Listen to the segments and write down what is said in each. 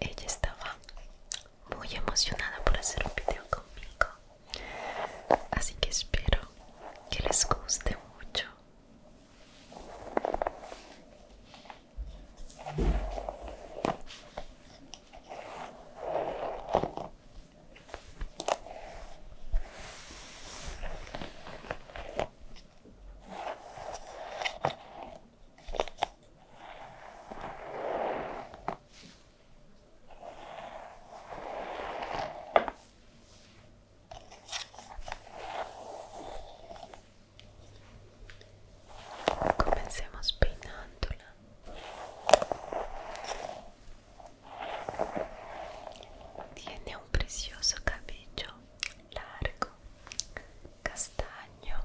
Ella estaba muy emocionada por hacer un video conmigo Así que espero que les guste mucho. Comencemos peinándola. Tiene un precioso cabello largo, castaño.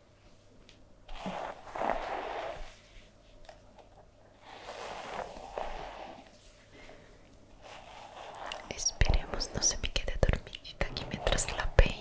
Esperemos no se me quede dormidita aquí mientras la peino.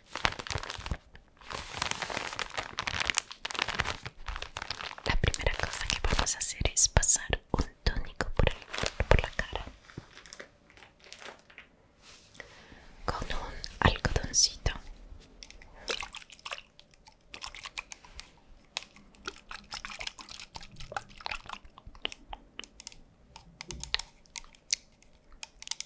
La primera cosa que vamos a hacer es pasar un tónico por, por la cara con un algodoncito.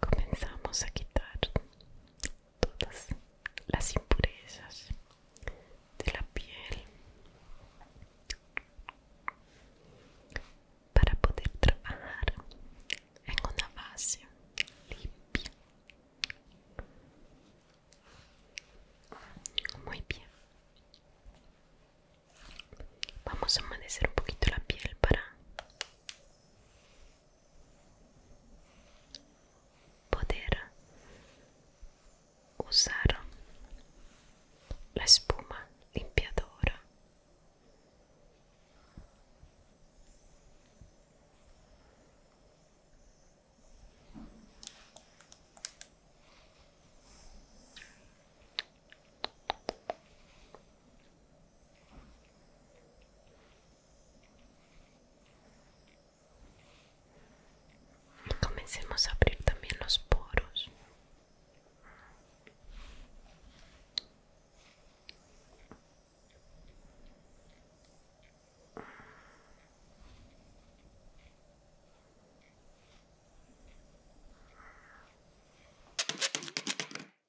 Comenzamos a quitar todas las impurezas de la piel para poder trabajar en una base limpia. Muy bien. Vamos a amanecer un poquito la piel para poter usare la spuma limpiadora comencemos a abrir también los poros.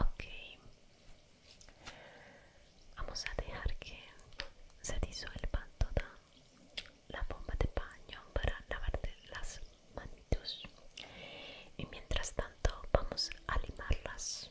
Okay, vamos a dejar que se disuelva toda la bomba de baño para lavarte las manitos y mientras tanto vamos a limarlas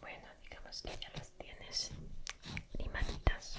Bueno, digamos que ya las tienes limaditas.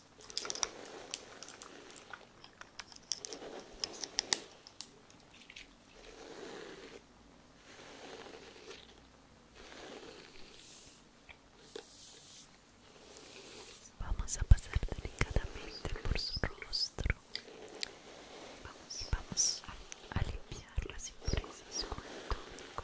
Vamos a pasar delicadamente por su rostro vamos, a, limpiar las impurezas con el tónico.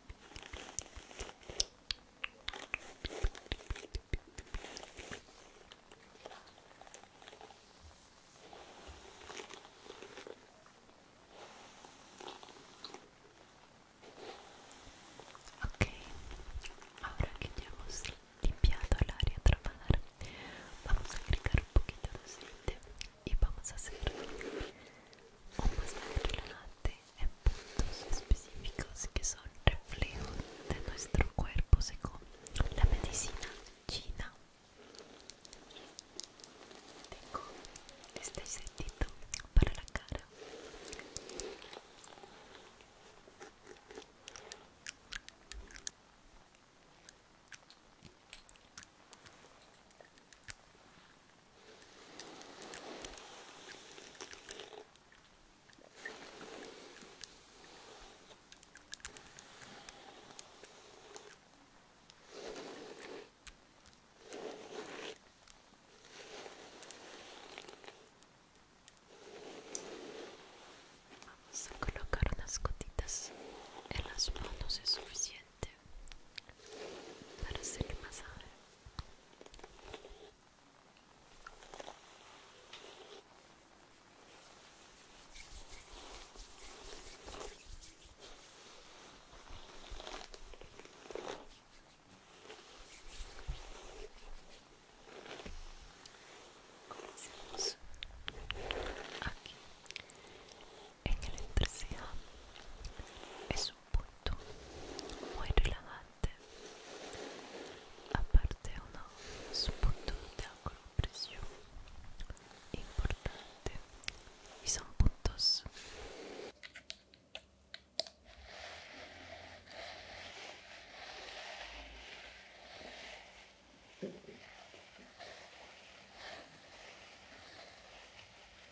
Ok, ahora que ya hemos limpiado el área a trabajar, vamos a agregar un poquito de aceite y vamos a hacer un masaje relajante en puntos específicos que son reflejos de nuestro cuerpo según la medicina china. Tengo este sentido para la cara. Vamos a colocar unas gotitas en las manos, es suficiente. aberta para ser massagem. Começamos aqui. En el tercer es punto muy relajante aparte unos puntos de acupresión importante y son puntos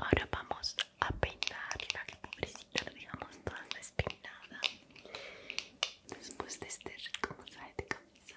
Ahora vamos a peinarla, que pobrecita la dejamos toda despeinada después de este rico de camisa.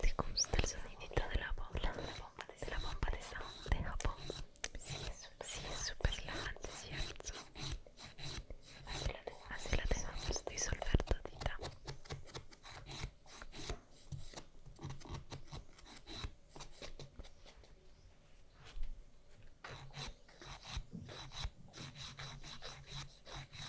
¿Te gusta el sonidito de la bomba? De la bomba de sound de Japón. Sí, es súper relajante, ¿cierto? Así la dejamos disolver todita.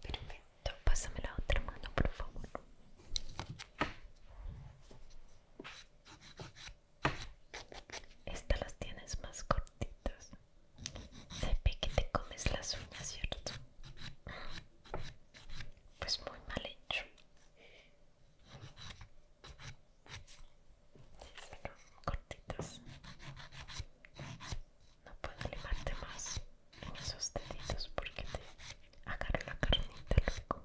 Perfecto, pásame la otra mano, por favor. Estas las tienes más cortitas. Se que te comes las uñas, ¿cierto? pues muy mal hecho Pero cortitas no puedo limarte más en esos deditos porque te agarro la carnita luego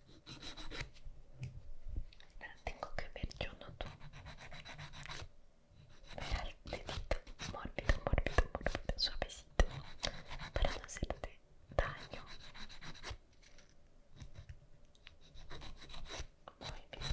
La tengo que ver yo, no tú. Mira el dedito, mórbido, mórbido, mórbido, suavecito, para no hacerte daño. Muy bien.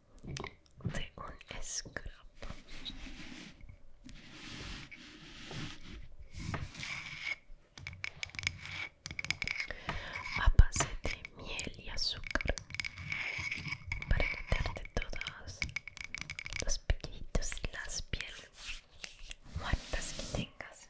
de un scrub. A base de miel y azúcar para quitarte todos los pelitos y las pieles muertas que tengas.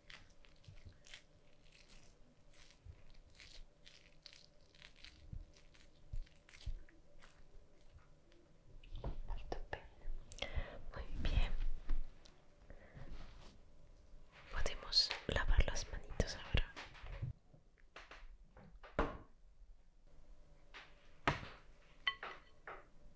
Muy bien. Podemos lavar las manitos ahora.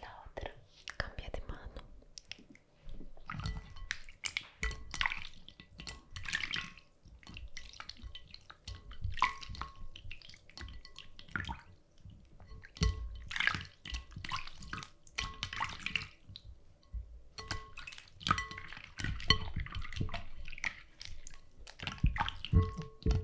La otra, cambia de mano. Muy bien.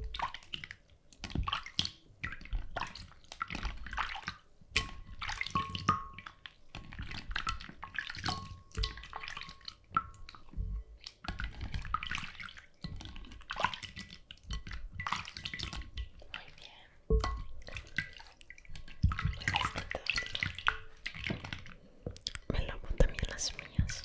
Me lo también las mías.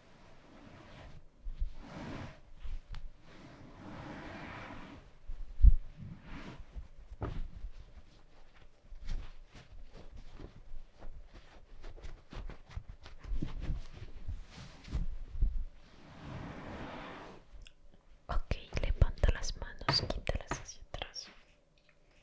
Ok, levanta las manos, quítalas hacia atrás.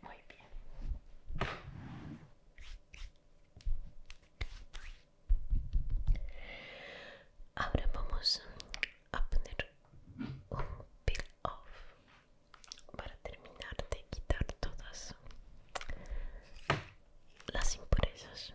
Muy bien. Ahora vamos a poner un peel off para terminar de quitar todas las impurezas.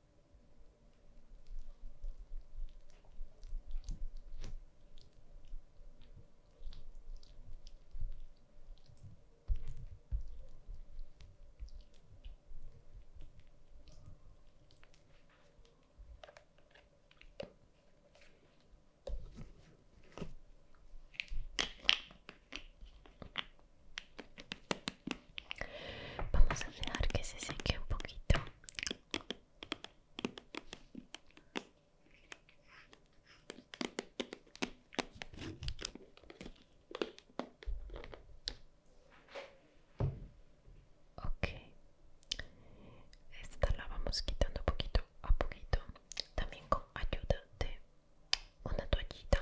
Vamos a dejar que se seque un poquito. Ok, esta la vamos quitando poquito a poquito, también con ayuda de una toallita.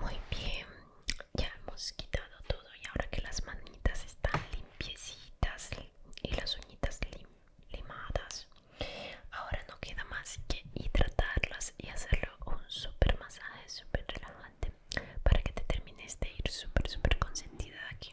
Muy bien, ya hemos quitado todo y ahora que las manitas están limpiecitas y las uñitas limadas, ahora no queda más que hidratarlas y hacerlo un super masaje, súper relajante, para que te termines de ir súper, súper consentida aquí.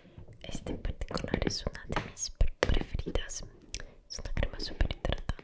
Este en particular es una de mis preferidas. Es una crema súper hidratante.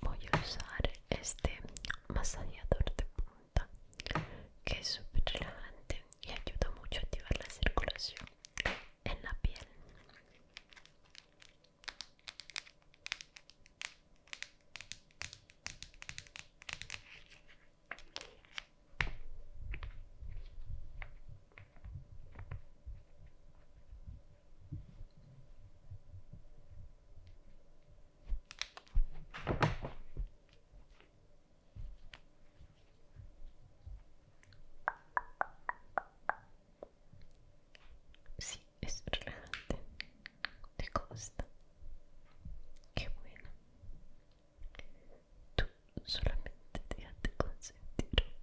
Voy a usar este masajeador de punta que es súper relajante y ayuda mucho a activar la circulación en la piel. Sí, es relajante. ¿Te costa Qué bueno. Tú solamente te de consentir.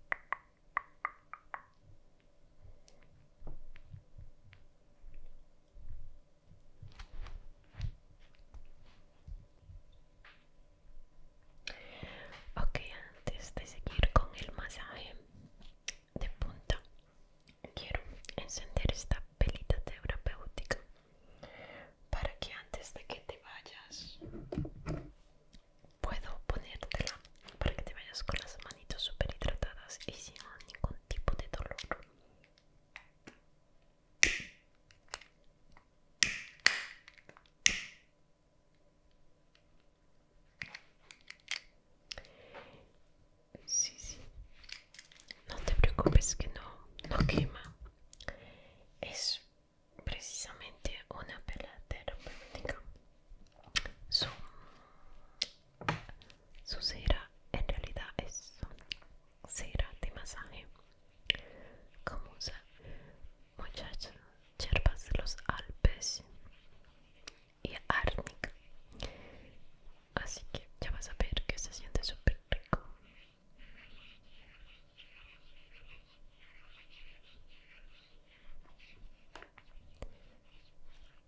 Ok, antes de seguir con el masaje de punta quiero encender esta pelita terapéutica para que antes de que te vayas puedo ponértela para que te vayas con las manitos super hidratadas y sin ningún tipo de dolor Sí, sí. No te preocupes que no, quema. Es precisamente una pela terapéutica. Su, cera en realidad es cera de masaje. Como usa muchas yerbas de los Alpes y árnica así que ya vas a ver que se siente súper rico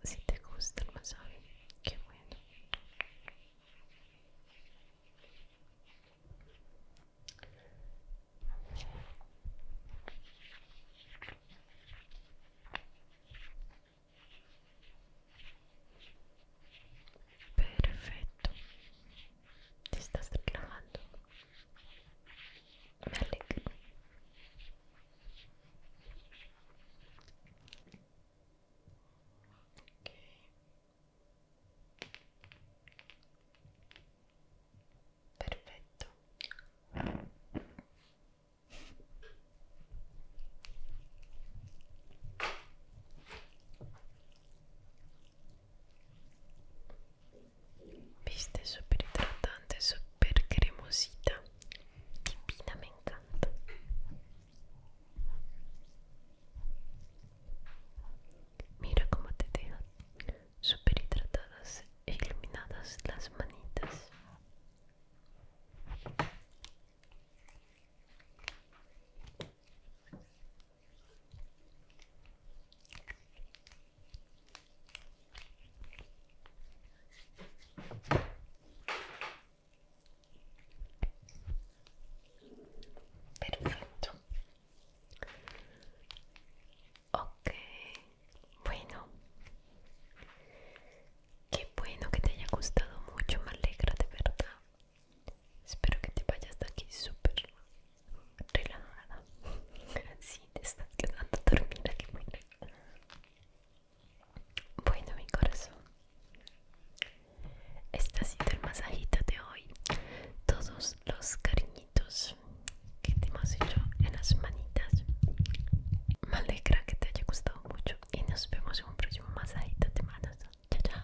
si te gusta el masaje qué bueno Perfecto. Te estás relajando. Me alegro. Okay. Perfecto. Viste, súper hidratante, súper cremosita. Divina, me encanta. Mira cómo te quedan súper hidratadas e iluminadas las manitas. Perfecto. Ok, bueno. Qué bueno que te haya gustado mucho, me alegra de verdad. Espero que te vayas de aquí súper relajada. si te estás quedando dormida, que buena. Bueno, mi corazón. Este ha sido el masajito de hoy. Todos los cariñitos que te hemos hecho en las manitas. Me alegra que te haya gustado mucho. Y nos vemos en un próximo masajito de manos. Chao, chao.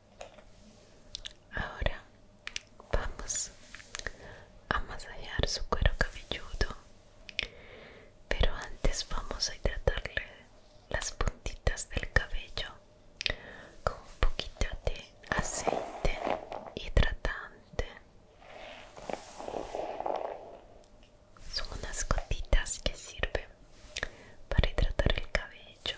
Ahora vamos a masajear su cuero cabelludo, pero antes vamos a hidratarle las puntitas del cabello con un poquito de aceite hidratante. Son unas gotitas que sirven para hidratar el cabello.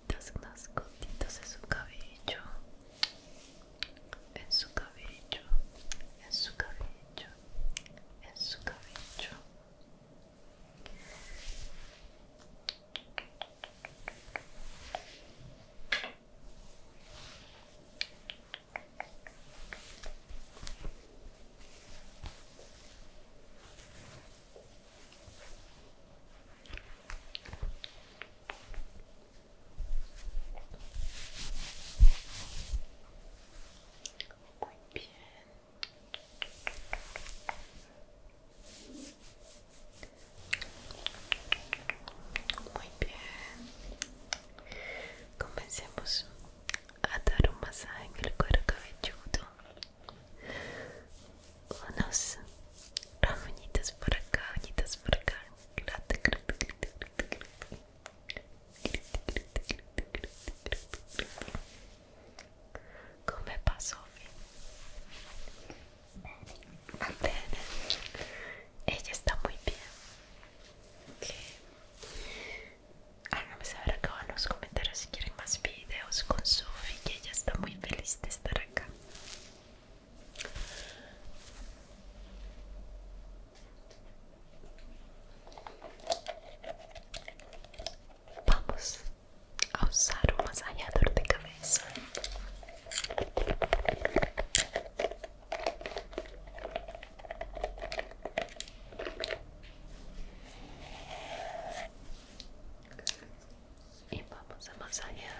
las gotitas en su cabello, en su cabello, en su cabello, en su cabello. Muy bien. Muy bien. Comencemos a dar un masaje en el cuero cabelludo unos ramoñitos por acá, por acá. Come pasó bien. Ella está muy bien. Okay. saber acá en los comentarios si quieren más videos videos con su que ella está muy feliz de estar acá vamos a usar un masajeador de cabeza y iya, vamos a masajear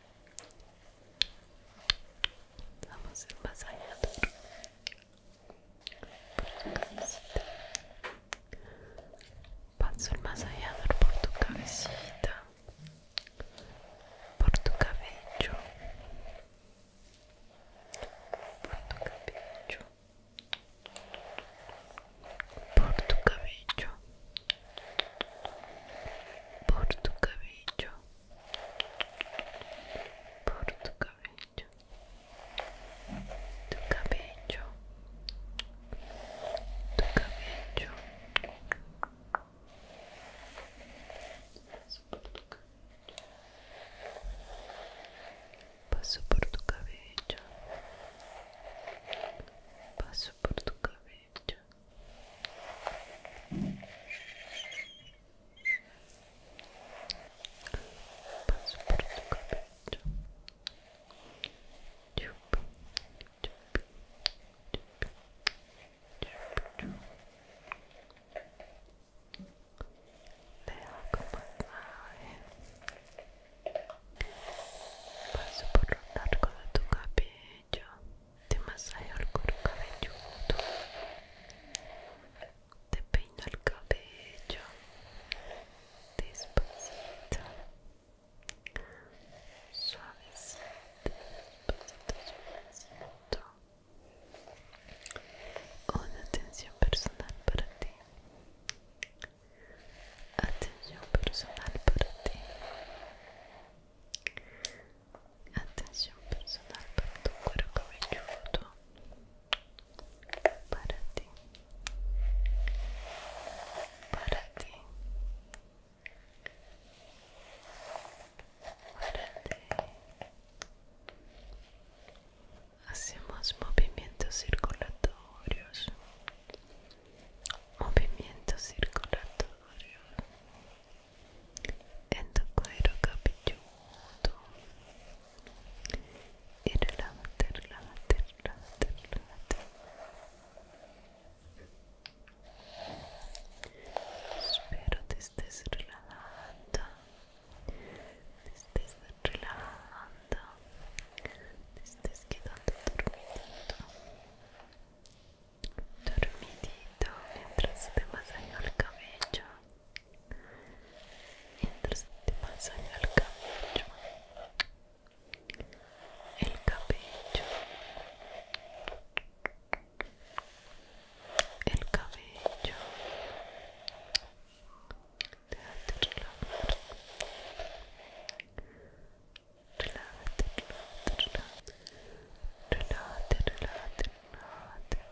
Vamos a ir Paso el masajeador por tu cabecita, por tu cabello, por tu cabello, por tu cabello, por tu cabello, por tu cabello tu cabello tu cabello paso por tu cabello paso por tu cabello paso por tu cabello Paso por tu cabello. Paso por el tu cabello te masajeo el cuero cabelludo te peino el cabello despacito suavecito despacito suavecito una atención personal para ti atención personal para ti Atención personal para tu cuerpo velludo. Para ti. Para ti. Para ti. Hacemos movimientos circulatorios. Movimientos circulatorios en tu cuero cabelludo y la relájate, relájate, relájate espero te estés relajando te estés te estés quedando dormido dormidito mientras te masajeo el cabello mientras te masajeo el cabello el cabello el cabello déjate relajar relájate, relájate, relájate, relájate,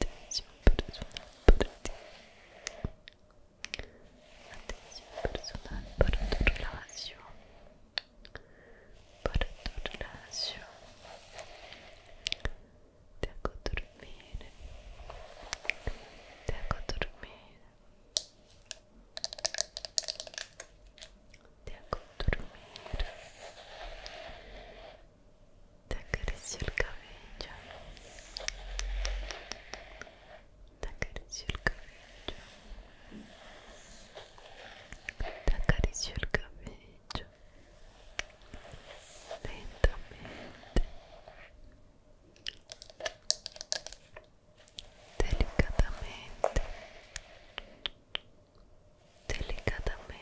Atención personal para ti. Atención personal para tu relación. Para tu relación. Te hago dormir. Te hago dormir. Te hago dormir te acaricio el cabello te acaricio el cabello te acaricio el cabello lentamente delicadamente delicadamente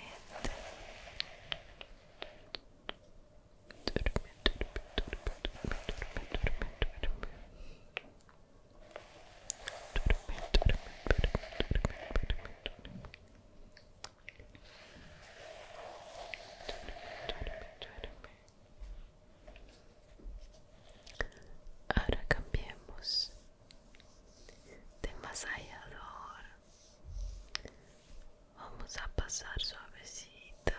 Ahora cambiemos de masallador Vamos a pasar suavecita,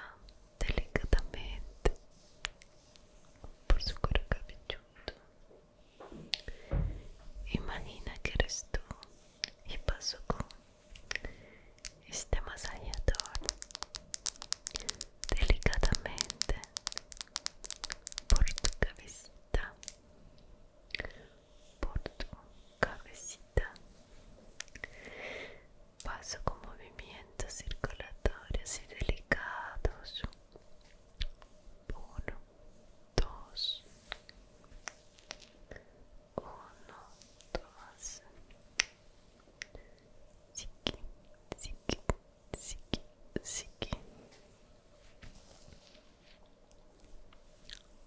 delicadamente, por su cuero cabelludo. Imagina que eres tú y paso con este masajeador delicadamente por tu cabecita, por tu cabecita paso con movimientos circulatorios y delicados uno dos uno dos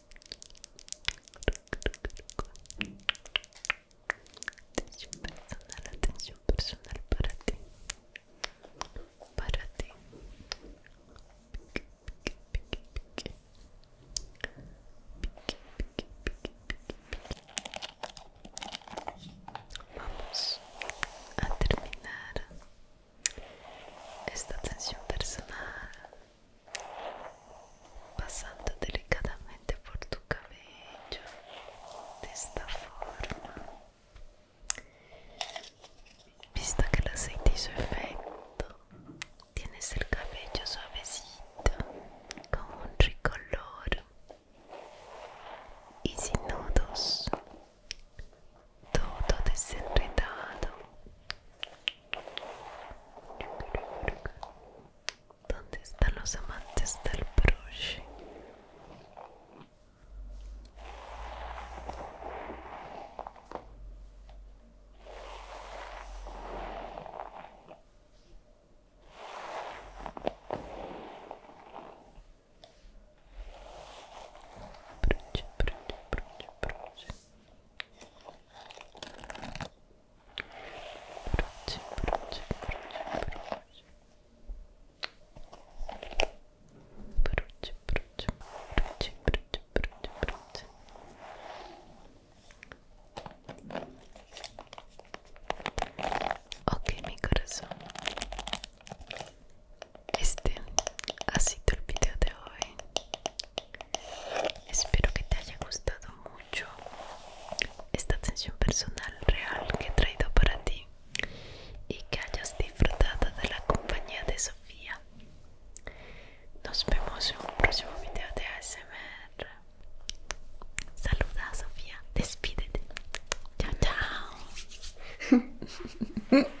Atención personal, atención personal para ti. Para ti. Vamos a terminar esta atención personal pasando delicadamente por tu cabello de esta forma visto que el aceite efecto tienes el cabello suavecito con un rico color, y sin nudos todo desenredado ¿Dónde están los amantes del broche? Broche, broche, broche, broche Ok, mi corazón. Este ha sido el video de hoy. Espero que te haya gustado mucho esta atención personal real que he traído para ti y que hayas disfrutado de la compañía de Sofía. Nos vemos en un próximo video de ASMR. Saluda a Sofía, despídete. Chao, chao.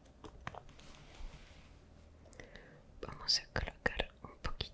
Vamos a colocar un poquito.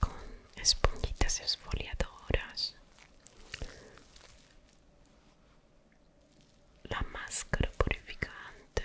con esponjitas esfoliadoras la máscara purificante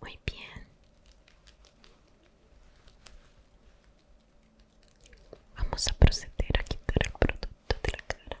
Muy bien. Vamos a proceder a quitar el producto de la cara.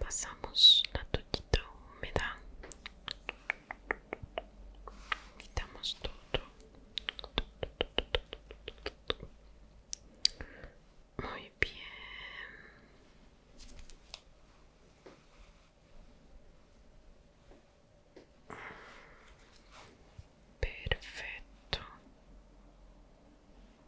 Pasamos la toallita húmeda. Quitamos todo. Muy bien. Perfecto.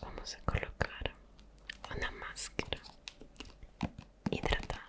Vamos a colocar una máscara hidratante.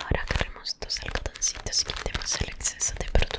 Ahora agarremos dos algodoncitos y quitemos el exceso de producto.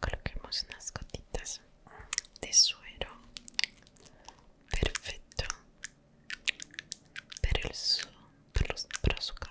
Coloquemos unas gotitas de suero. Perfecto per, el sol per, lo, per cara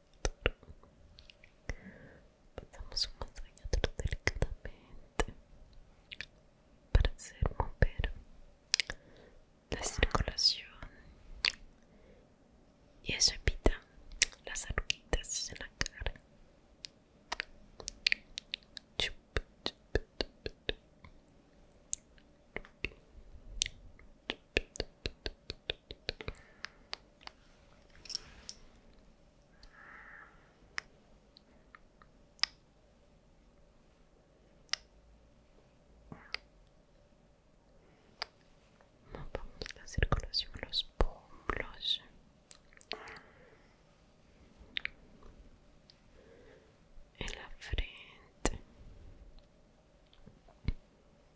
Pasamos un delicadamente para hacer mover la circulación y eso evita las arruguitas en la cara. Vamos la circulación, los pómulos. En la frente.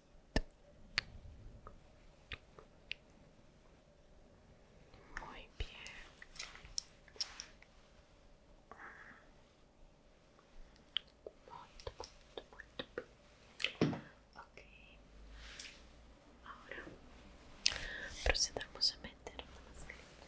Muy bien. muy bien molto Ok. Ahora procedamos a meter la mascarilla.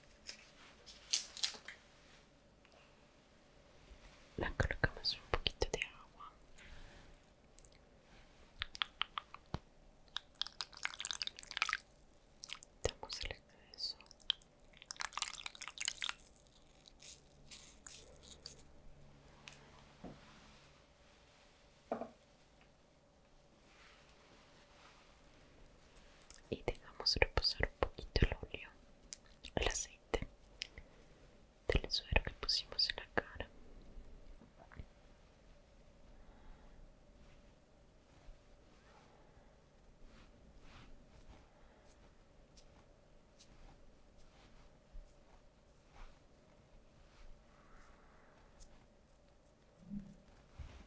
La colocamos un poquito de agua. Damos el exceso y dejamos reposar un poquito el olio, el aceite del suero que pusimos en la cara.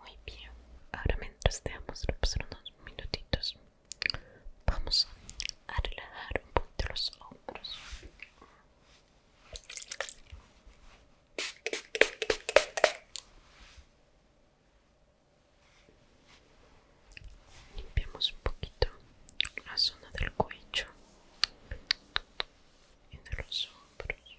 Muy bien, ahora mientras dejamos pasar unos minutitos, vamos a relajar un poquito los hombros. Limpiamos un poquito la zona del cuello y de los hombros.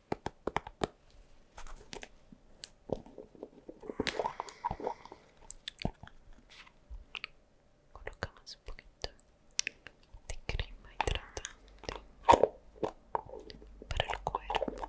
Colocamos un poquito de crema hidratante para el cuerpo.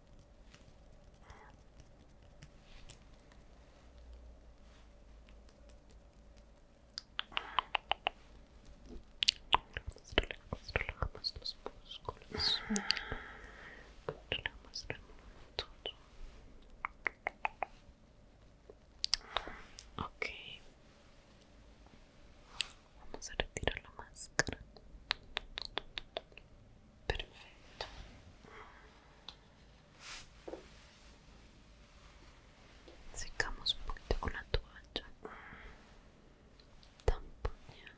Relajamos, todo. Okay, Vamos a retirar la máscara. Perfecto. Secamos un poquito con la toalla. Tamponeando.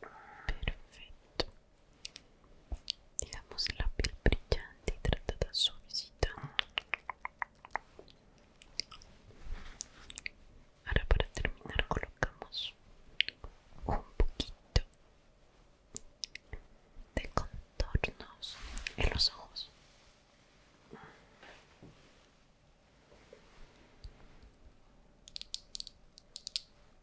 Perfecto. Digamos la piel brillante y tratada Ahora para terminar colocamos un poquito de contornos en los ojos.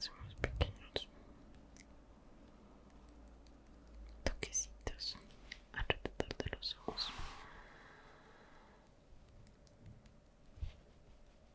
Somos pequeños toquecitos alrededor de los ojos.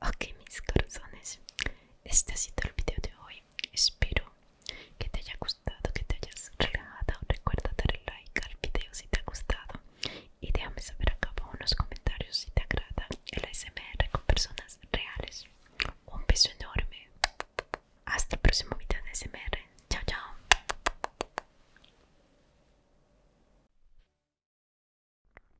Ok mis corazones, este ha sido el video de hoy. Espero que te haya gustado, que te hayas relajado. Recuerda darle like al video si te ha gustado. Y déjame saber acá abajo en los comentarios si te agrada el ASMR con personas reales. Un beso enorme. Hasta el próximo video de ASMR. Chao, chao.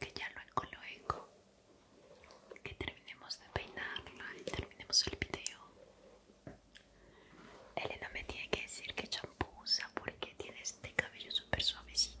que ya lo eco, que terminemos de peinarla y terminemos el video Elena me tiene que decir que champusa porque tiene este cabello súper suavecito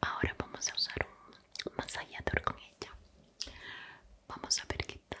Ahora vamos a usar un masallador con ella. Vamos a ver qué tal.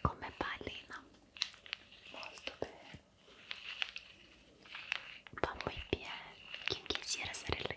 Come pallina, molto bene. Va muy bien. ¿Quién quisiera ser Elena?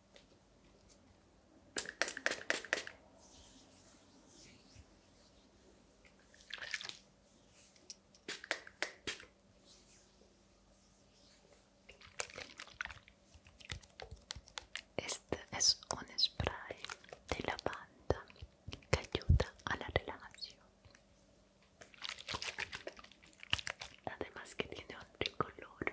Este es un spray de lavanda que ayuda a la relajación. Además que tiene otro color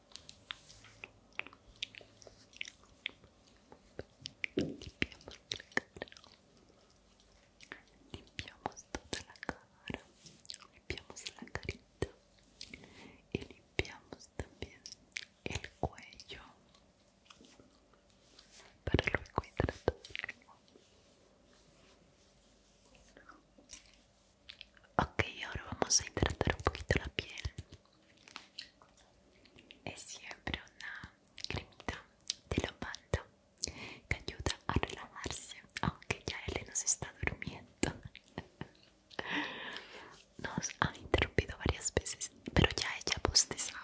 Limpiamos la cara. Limpiamos toda la cara. Limpiamos la carita. Y limpiamos también el cuello. Para luego hidratarlo. Ok, ahora vamos a hidratar un poquito la piel. Es siempre una cremita de banda que ayuda a relajarse, aunque ya Elena se está durmiendo. Nos han interrumpido varias veces, pero ya ella bostezaba.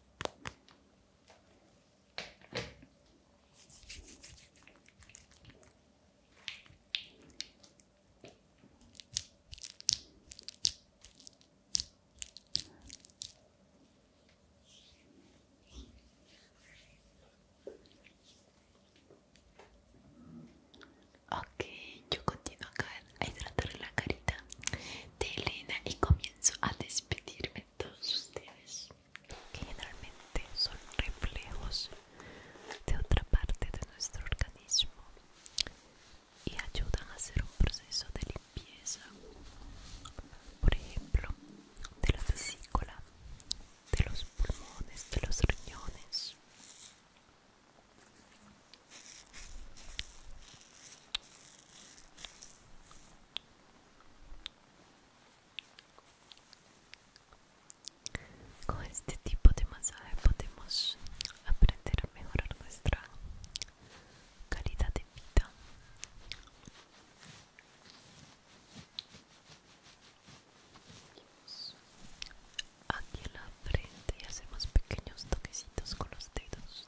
Ok, yo continúo acá a hidratar la carita de Elena y comienzo a despedirme de todos ustedes que generalmente son reflejos de otra parte de nuestro organismo y ayudan a hacer un proceso de limpieza por ejemplo de la vesícula de los pulmones de los riñones con este tipo de masaje podemos aprender a mejorar nuestra calidad de vida. Aquí en la frente y hacemos pequeños toquecitos con los dedos.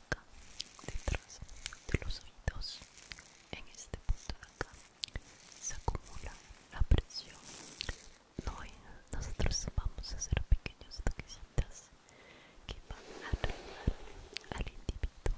acá detrás de los oídos en este punto de acá se acumula la presión hoy nosotros vamos a hacer pequeños toquecitas que van a ayudar al individuo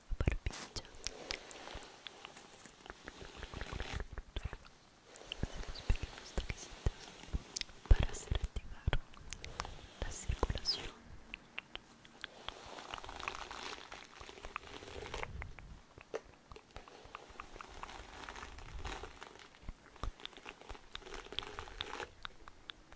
barbilla hacemos pequeños toquecitos para hacer activar la circulación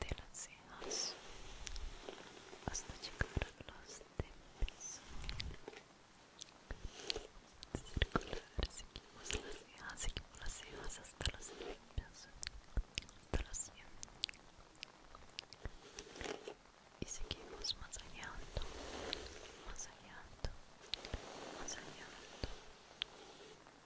de las cejas hasta llegar a los dientes circular seguimos las cejas seguimos las cejas hasta los dientes hasta los dientes y seguimos masajeando masajeando masajeando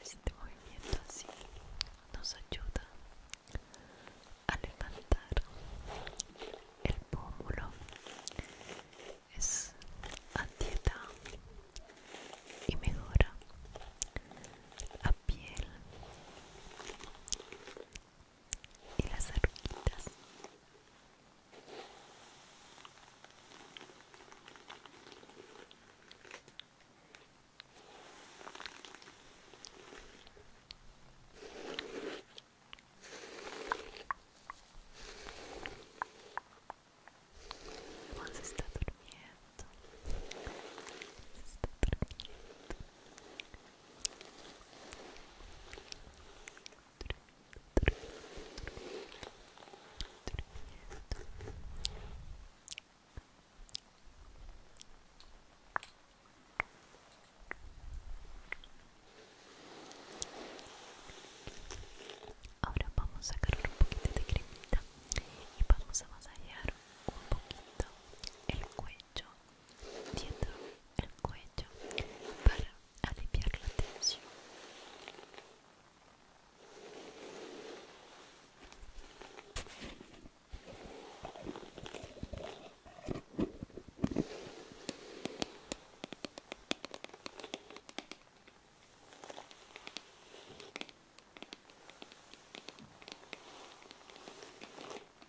Este movimiento así nos ayuda a levantar el pómulo. Es antiedad y mejora la piel y las arruguitas. Juan se está durmiendo. Se está durmiendo. Ahora vamos a sacar un poquito de cremita y vamos a masajear un poquito el cuello yo tiendo el cuello para aliviar la tensión.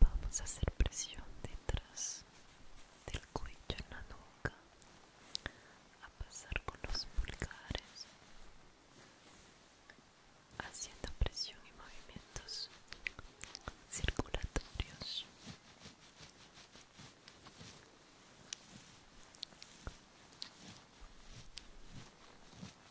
Vamos a hacer presión detrás del cuello en la nuca, a pasar con los pulgares, haciendo presión y movimientos circulatorios.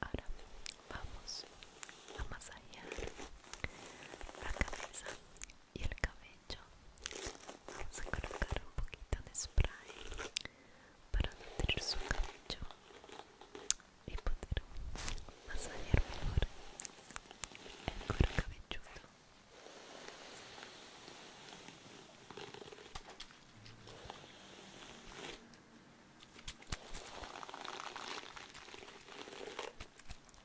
Ahora vamos a masajear la cabeza y el cabello vamos a colocar un poquito de spray para nutrir su cabello y poder masajear mejor el cuero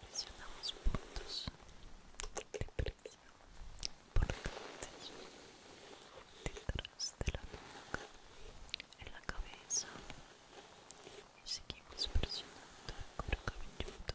Presionamos puntos de presión importantes detrás de la nuca, en la cabeza y seguimos presionando el cuero cabelludo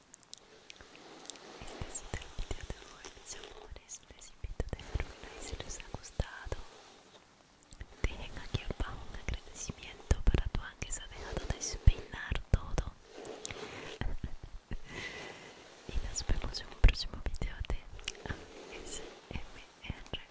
este ha sido el video de hoy mis amores les invito a un like si les ha gustado dejen aquí abajo un agradecimiento para tu que se ha dejado de despeinar todo y nos vemos en un próximo video de ASMR